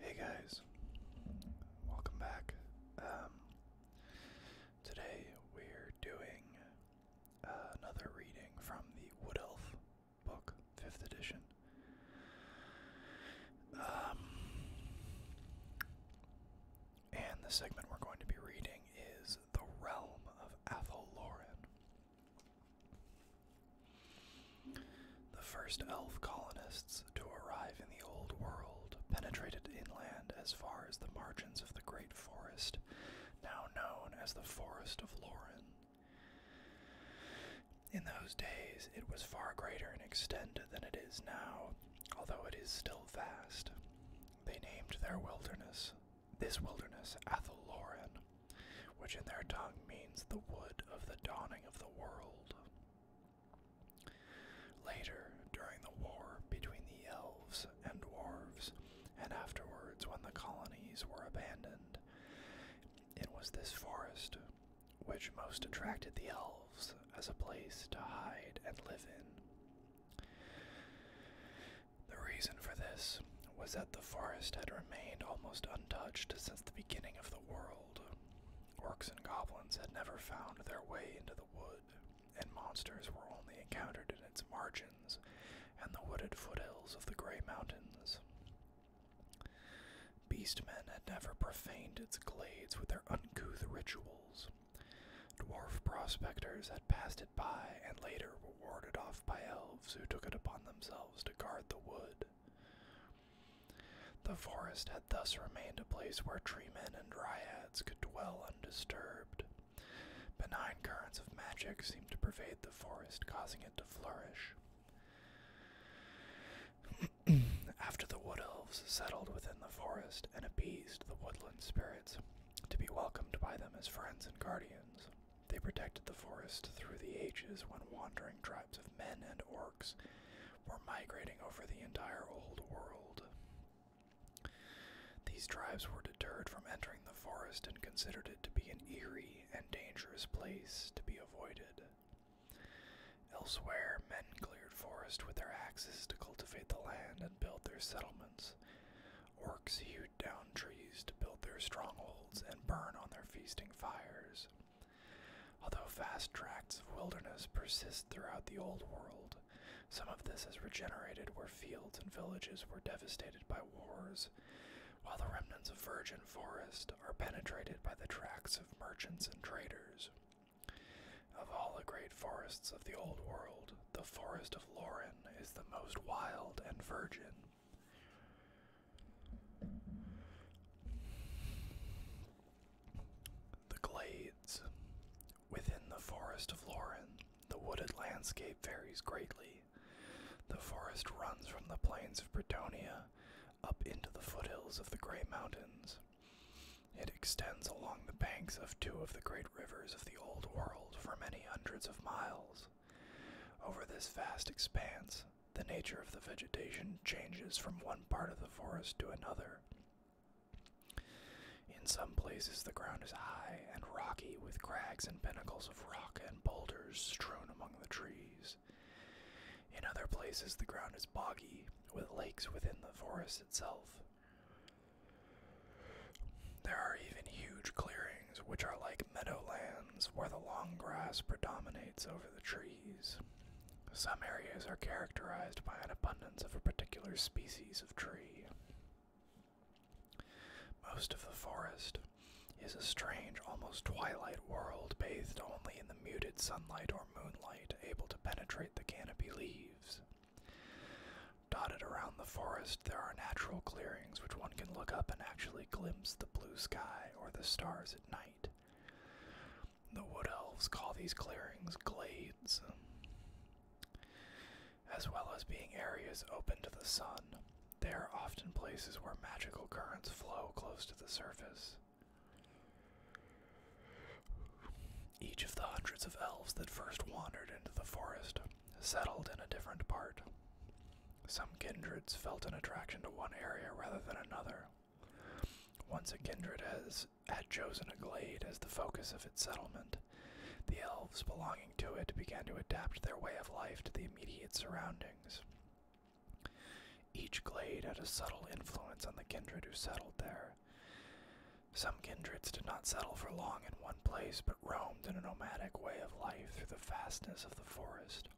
Hey guys, welcome back. Um, today we're doing another reading from the Wood Elf book, 5th edition. Um, and the segment we're going to be reading is The Realm of Atholoran. The first elf colonists to arrive in the Old World penetrated inland as far as the margins of the Great Forest, now known as the Forest of Lauren. In those days, it was far greater in extent than it is now, although it is still vast. They named their wilderness, this wilderness, Athel which in their tongue means the wood of the dawning of the world. Later, during the war between the elves and dwarves, and afterwards when the colonies were abandoned, it was this forest which most attracted the elves as a place to hide and live in. The reason for this was that the forest had remained almost untouched since the beginning of the world world. Orcs and goblins had never found their way into the wood, and monsters were only encountered in its margins and the wooded foothills of the Grey Mountains. Beastmen had never profaned its glades with their uncouth rituals. Dwarf prospectors had passed it by and later were warded off by elves who took it upon themselves to guard the wood. The forest had thus remained a place where tree men and dryads could dwell undisturbed. Benign currents of magic seemed to pervade the forest, causing it to flourish. After the wood elves settled within the forest and appeased the woodland spirits, to be welcomed by them as friends and guardians, they protected the forest through the ages when wandering tri of men and orcs were migrating over the entire old world. These tribes were deterred from entering the forest and considered it to be an eerie and dangerous place to be avoided. Elsewhere, men cleared forest with their axes to cultivate the land and build their settlements. Orcs hewed down trees to build their strongholds and burn on their feasting fires. Although vast tracts of wilderness persist throughout the old world, some of this has regenerated where fields and villages were devastated by wars, while the remnants of virgin forest are penetrated by the tracks of merchants and traders. Of all the great forests of the old world, the forest of Lauren is the most wild and virgin. The glades. Within the forest of Lauren, the wooded landscape varies greatly. The forest runs from the plains of Britonia up into the foothills of the Grey Mountains. It extends along the banks of two of the great rivers of the Old World for many hundreds of miles. Over this vast expanse, the nature of the vegetation changes from one part of the forest to another. In some places, the ground is high and rocky, with crags and pinnacles of rock and boulders strewn among the trees. In other places, the ground is boggy, with lakes within the forest itself. There are even huge clearings, which are like meadowlands, where the long grass predominates over the trees. Some areas are characterized by an abundance of a particular species of tree. Most of the forest is a strange, almost twilight world bathed only in the muted sunlight or moonlight able to penetrate the canopy leaves. Dotted around the forest, there are natural clearings which one can look up and actually glimpse the blue sky or the stars at night. The wood elves call these clearings glades, as well as being areas open to the sun. They are often places where magical currents flow close to the surface. Each of the hundreds of elves that first wandered into the forest settled in a different part. Some kindreds felt an attraction to one area rather than another, once a kindred has had chosen a glade as the focus of its settlement, the elves belonging to it began to adapt their way of life to the immediate surroundings. Each glade had a subtle influence on the kindred who settled there. Some kindreds did not settle for long in one place, but roamed in a nomadic way of life through the vastness of the forest.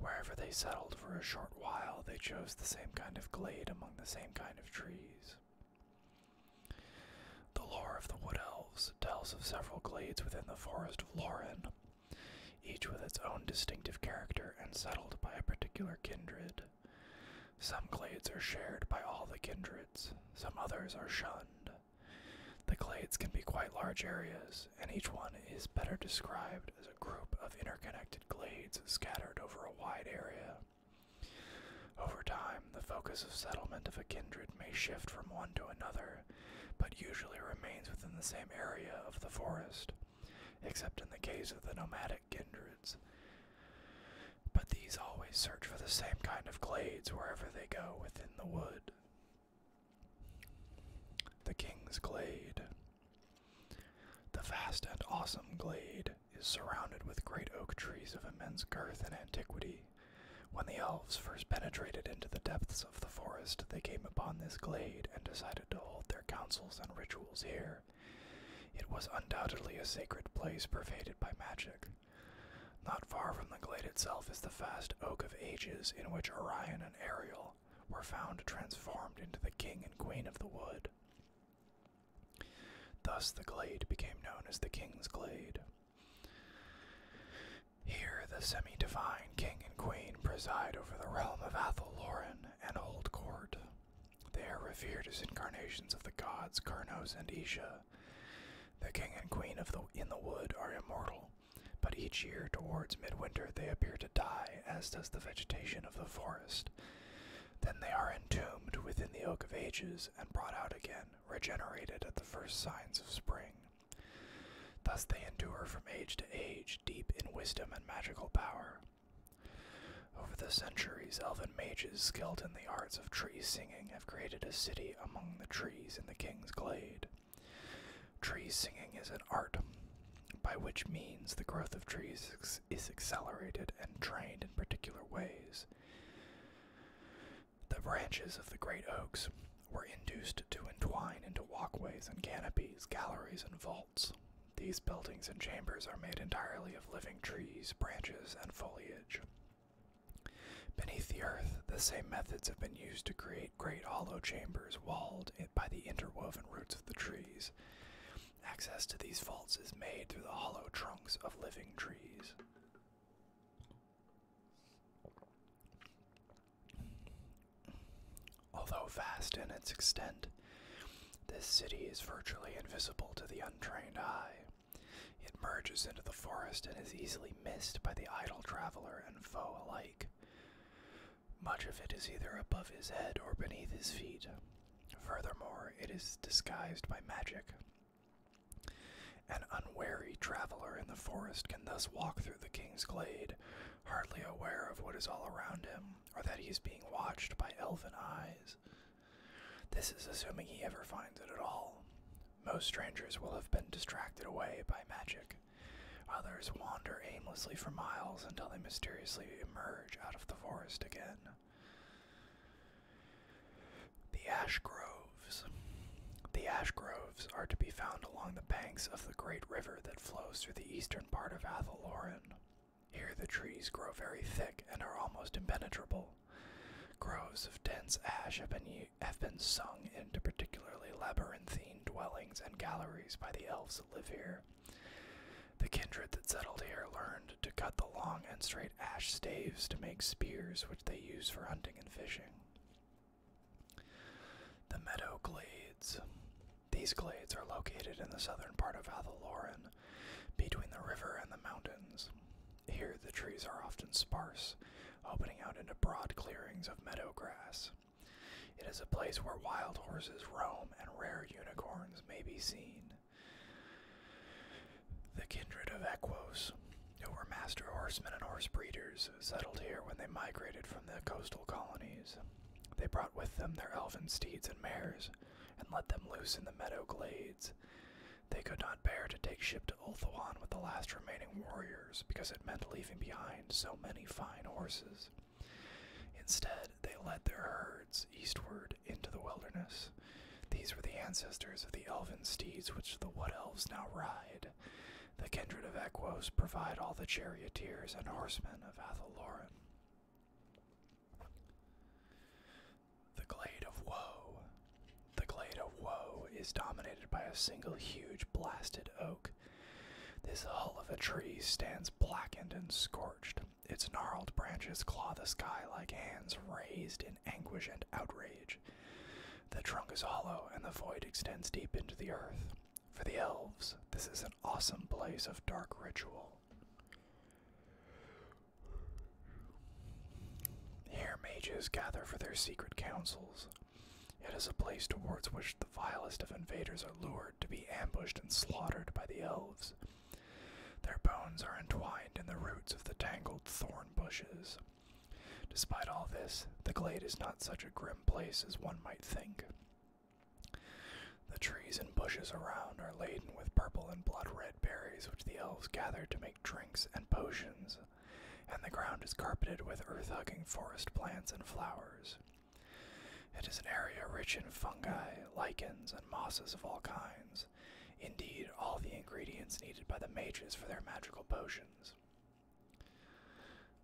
Wherever they settled for a short while, they chose the same kind of glade among the same kind of trees. The lore of the Wood Elves tells of several glades within the Forest of Lauren, each with its own distinctive character and settled by a particular kindred. Some glades are shared by all the kindreds, some others are shunned. The glades can be quite large areas, and each one is better described as a group of interconnected glades scattered over a wide area. Over time, the focus of settlement of a kindred may shift from one to another, but usually remains within the same area of the forest, except in the case of the nomadic kindreds. But these always search for the same kind of glades wherever they go within the wood. The King's Glade. The vast and awesome glade is surrounded with great oak trees of immense girth and antiquity. When the elves first penetrated into the depths of the forest, they came upon this glade and decided to hold their councils and rituals here. It was undoubtedly a sacred place pervaded by magic. Not far from the glade itself is the vast Oak of Ages, in which Orion and Ariel, were found transformed into the king and queen of the wood. Thus, the glade became known as the King's Glade. Here, the semi divine king and queen preside over the realm of Athel Loren and hold court. They are revered as incarnations of the gods Karnos and Isha. The king and queen of the in the wood are immortal, but each year towards midwinter they appear to die, as does the vegetation of the forest. Then they are entombed within the oak of ages and brought out again, regenerated at the first signs of spring. Thus they endure from age to age, deep in wisdom and magical power. Over the centuries, elven mages skilled in the arts of tree singing have created a city among the trees in the king's glade. Tree singing is an art, by which means the growth of trees is accelerated and trained in particular ways. The branches of the great oaks were induced to entwine into walkways and canopies, galleries and vaults. These buildings and chambers are made entirely of living trees, branches, and foliage. Beneath the earth, the same methods have been used to create great hollow chambers walled by the interwoven roots of the trees. Access to these vaults is made through the hollow trunks of living trees. Although vast in its extent, this city is virtually invisible to the untrained eye. It merges into the forest and is easily missed by the idle traveler and foe alike. Much of it is either above his head or beneath his feet. Furthermore, it is disguised by magic. An unwary traveler in the forest can thus walk through the king's glade, hardly aware of what is all around him, or that he is being watched by elfin eyes. This is assuming he ever finds it at all. Most strangers will have been distracted away by magic. Others wander aimlessly for miles until they mysteriously emerge out of the forest again. The ash groves. The ash groves are to be found along the banks of the great river that flows through the eastern part of Athaloran. Here the trees grow very thick and are almost impenetrable. Groves of dense ash have been, have been sung into particularly labyrinthine dwellings and galleries by the elves that live here. The kindred that settled here learned to cut the long and straight ash staves to make spears, which they use for hunting and fishing. The meadow glades. These glades are located in the southern part of Athaloran, between the river and the mountains. Here the trees are often sparse, opening out into broad clearings of meadow grass. It is a place where wild horses roam and rare unicorns may be seen. The kindred of Equos, who were master horsemen and horse breeders, settled here when they migrated from the coastal colonies. They brought with them their elfin steeds and mares, and let them loose in the meadow glades. They could not bear to take ship to Ulthuan with the last remaining warriors, because it meant leaving behind so many fine horses. Instead, they led their herds eastward into the wilderness. These were the ancestors of the elven steeds which the Wood Elves now ride. The kindred of Equos provide all the charioteers and horsemen of Athaloran. The Glade of Woe. The Glade of Woe is dominated by a single huge blasted oak this hull of a tree stands blackened and scorched. Its gnarled branches claw the sky like hands raised in anguish and outrage. The trunk is hollow, and the void extends deep into the earth. For the elves, this is an awesome place of dark ritual. Here, mages gather for their secret councils. It is a place towards which the vilest of invaders are lured to be ambushed and slaughtered by the elves. Their bones are entwined in the roots of the tangled thorn bushes. Despite all this, the glade is not such a grim place as one might think. The trees and bushes around are laden with purple and blood red berries, which the elves gather to make drinks and potions, and the ground is carpeted with earth hugging forest plants and flowers. It is an area rich in fungi, lichens, and mosses of all kinds. Indeed, all the ingredients needed by the mages for their magical potions.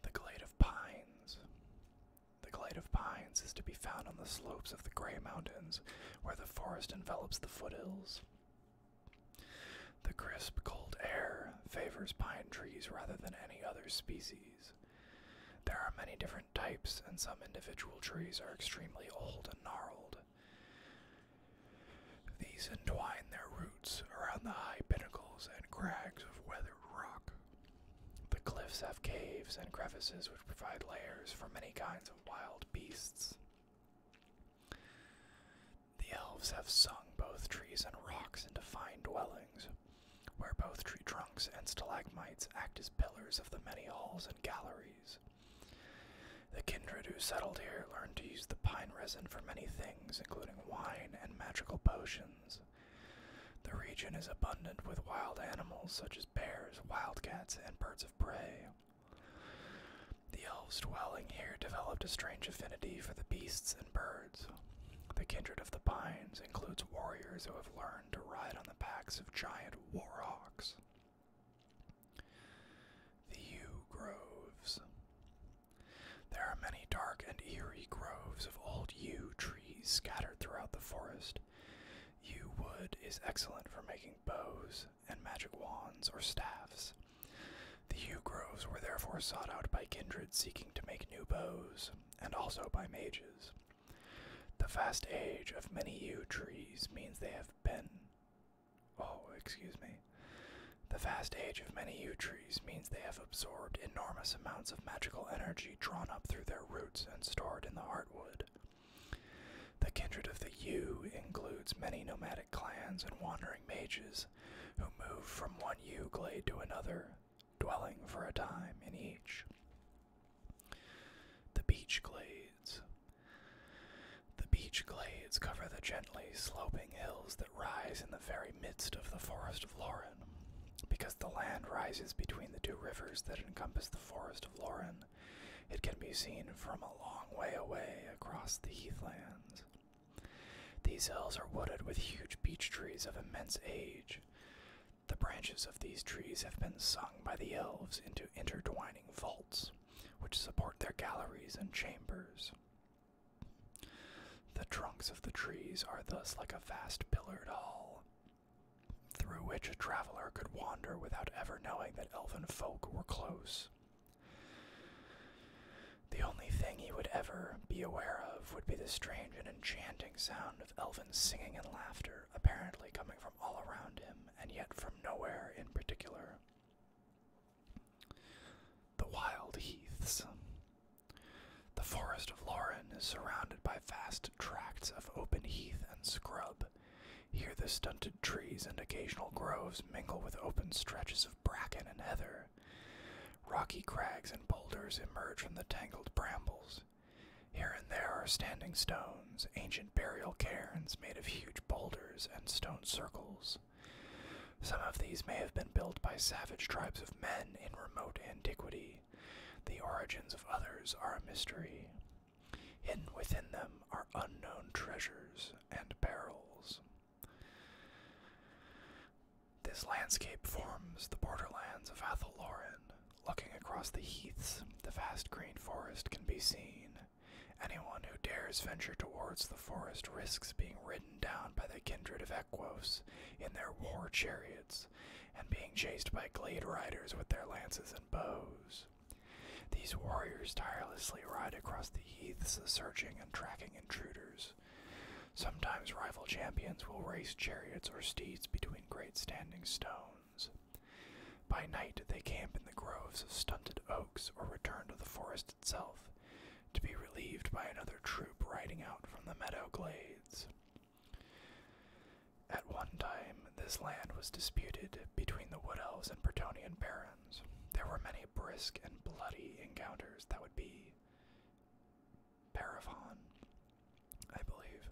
The Glade of Pines. The Glade of Pines is to be found on the slopes of the Grey Mountains, where the forest envelops the foothills. The crisp, cold air favors pine trees rather than any other species. There are many different types, and some individual trees are extremely old and gnarled. These entwine their roots around the high pinnacles and crags of weathered rock. The cliffs have caves and crevices which provide lairs for many kinds of wild beasts. The elves have sung both trees and rocks into fine dwellings, where both tree trunks and stalagmites act as pillars of the many halls and galleries. The kindred who settled here learned to use the pine resin for many things, including wine and magical potions. The region is abundant with wild animals such as bears, wildcats, and birds of prey. The elves dwelling here developed a strange affinity for the beasts and birds. The kindred of the pines includes warriors who have learned to ride on the backs of giant warhawks. The yew groves. There are many dark and eerie groves of old yew trees scattered throughout the forest. Yew wood is excellent for making bows and magic wands or staffs. The yew groves were therefore sought out by kindred seeking to make new bows, and also by mages. The vast age of many yew trees means they have been. Oh, excuse me. The vast age of many yew trees means they have absorbed enormous amounts of magical energy drawn up through their roots and stored in the heartwood. The kindred of the yew includes many nomadic clans and wandering mages who move from one yew glade to another, dwelling for a time in each. The beech glades. The beech glades cover the gently sloping hills that rise in the very midst of the Forest of Lauren. Because the land rises between the two rivers that encompass the Forest of Lauren, it can be seen from a long way away across the heathlands. These hills are wooded with huge beech trees of immense age. The branches of these trees have been sung by the elves into intertwining vaults, which support their galleries and chambers. The trunks of the trees are thus like a vast pillared hall, through which a traveler could wander without ever knowing that elven folk were close. The only thing he would ever be aware of would be the strange and enchanting sound of elven singing and laughter, apparently coming from all around him, and yet from nowhere in particular. The wild heaths. The forest of Laurin is surrounded by vast tracts of open heath and scrub. Here the stunted trees and occasional groves mingle with open stretches of bracken and heather. Rocky crags and boulders emerge from the tangled brambles. Here and there are standing stones, ancient burial cairns made of huge boulders and stone circles. Some of these may have been built by savage tribes of men in remote antiquity. The origins of others are a mystery. Hidden within them are unknown treasures and perils. This landscape forms the borderlands of Athaloran. Looking across the heaths, the vast green forest can be seen. Anyone who dares venture towards the forest risks being ridden down by the kindred of Equos in their war chariots, and being chased by glade riders with their lances and bows. These warriors tirelessly ride across the heaths, searching and tracking intruders. Sometimes rival champions will race chariots or steeds between great standing stones. By night they camp in the groves of stunted oaks or return to the forest itself, to be relieved by another troop riding out from the meadow glades. At one time, this land was disputed between the Wood Elves and Bretonian barons. There were many brisk and bloody encounters that would be Parafon, I believe.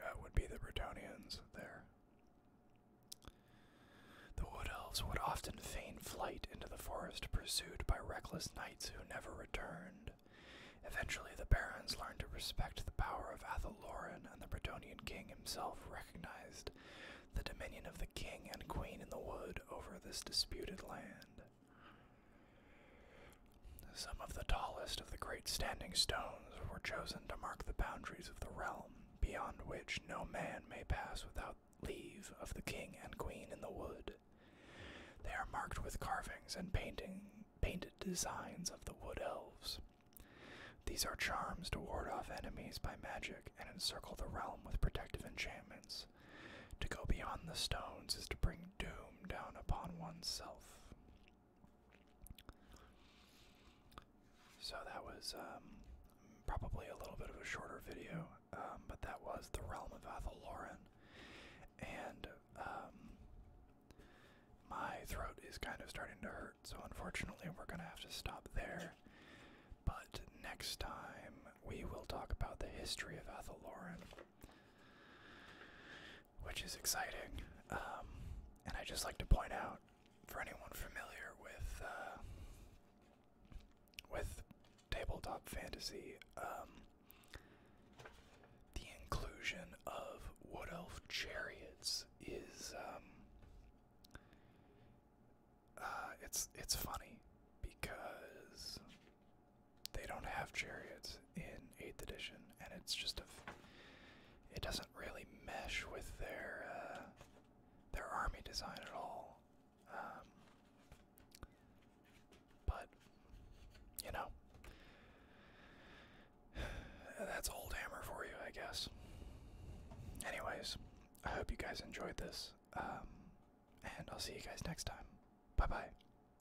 That would be the Bretonians there. The Wood Elves would often feign flight into the forest, pursued by reckless knights who never returned. Eventually, the barons learned to respect the power of Athaloran, and the Bretonian king himself recognized the dominion of the king and queen in the wood over this disputed land. Some of the tallest of the great standing stones were chosen to mark the boundaries of the realm, beyond which no man may pass without leave of the king and queen in the wood. They are marked with carvings and painted designs of the wood elves. These are charms to ward off enemies by magic and encircle the realm with protective enchantments. To go beyond the stones is to bring doom down upon oneself. So that was um, probably a little bit of a shorter video, um, but that was the realm of Athaloran. And um, my throat is kind of starting to hurt, so unfortunately we're going to have to stop there. But next time we will talk about the history of Athaloran which is exciting. Um, and I just like to point out for anyone familiar with uh, with tabletop fantasy, um, the inclusion of wood elf chariots is um, uh, it's it's funny because they don't have chariots in 8th edition, and it's just a. It doesn't really mesh with their uh, their army design at all. Um, but you know, that's old hammer for you, I guess. Anyways, I hope you guys enjoyed this, um, and I'll see you guys next time. Bye bye.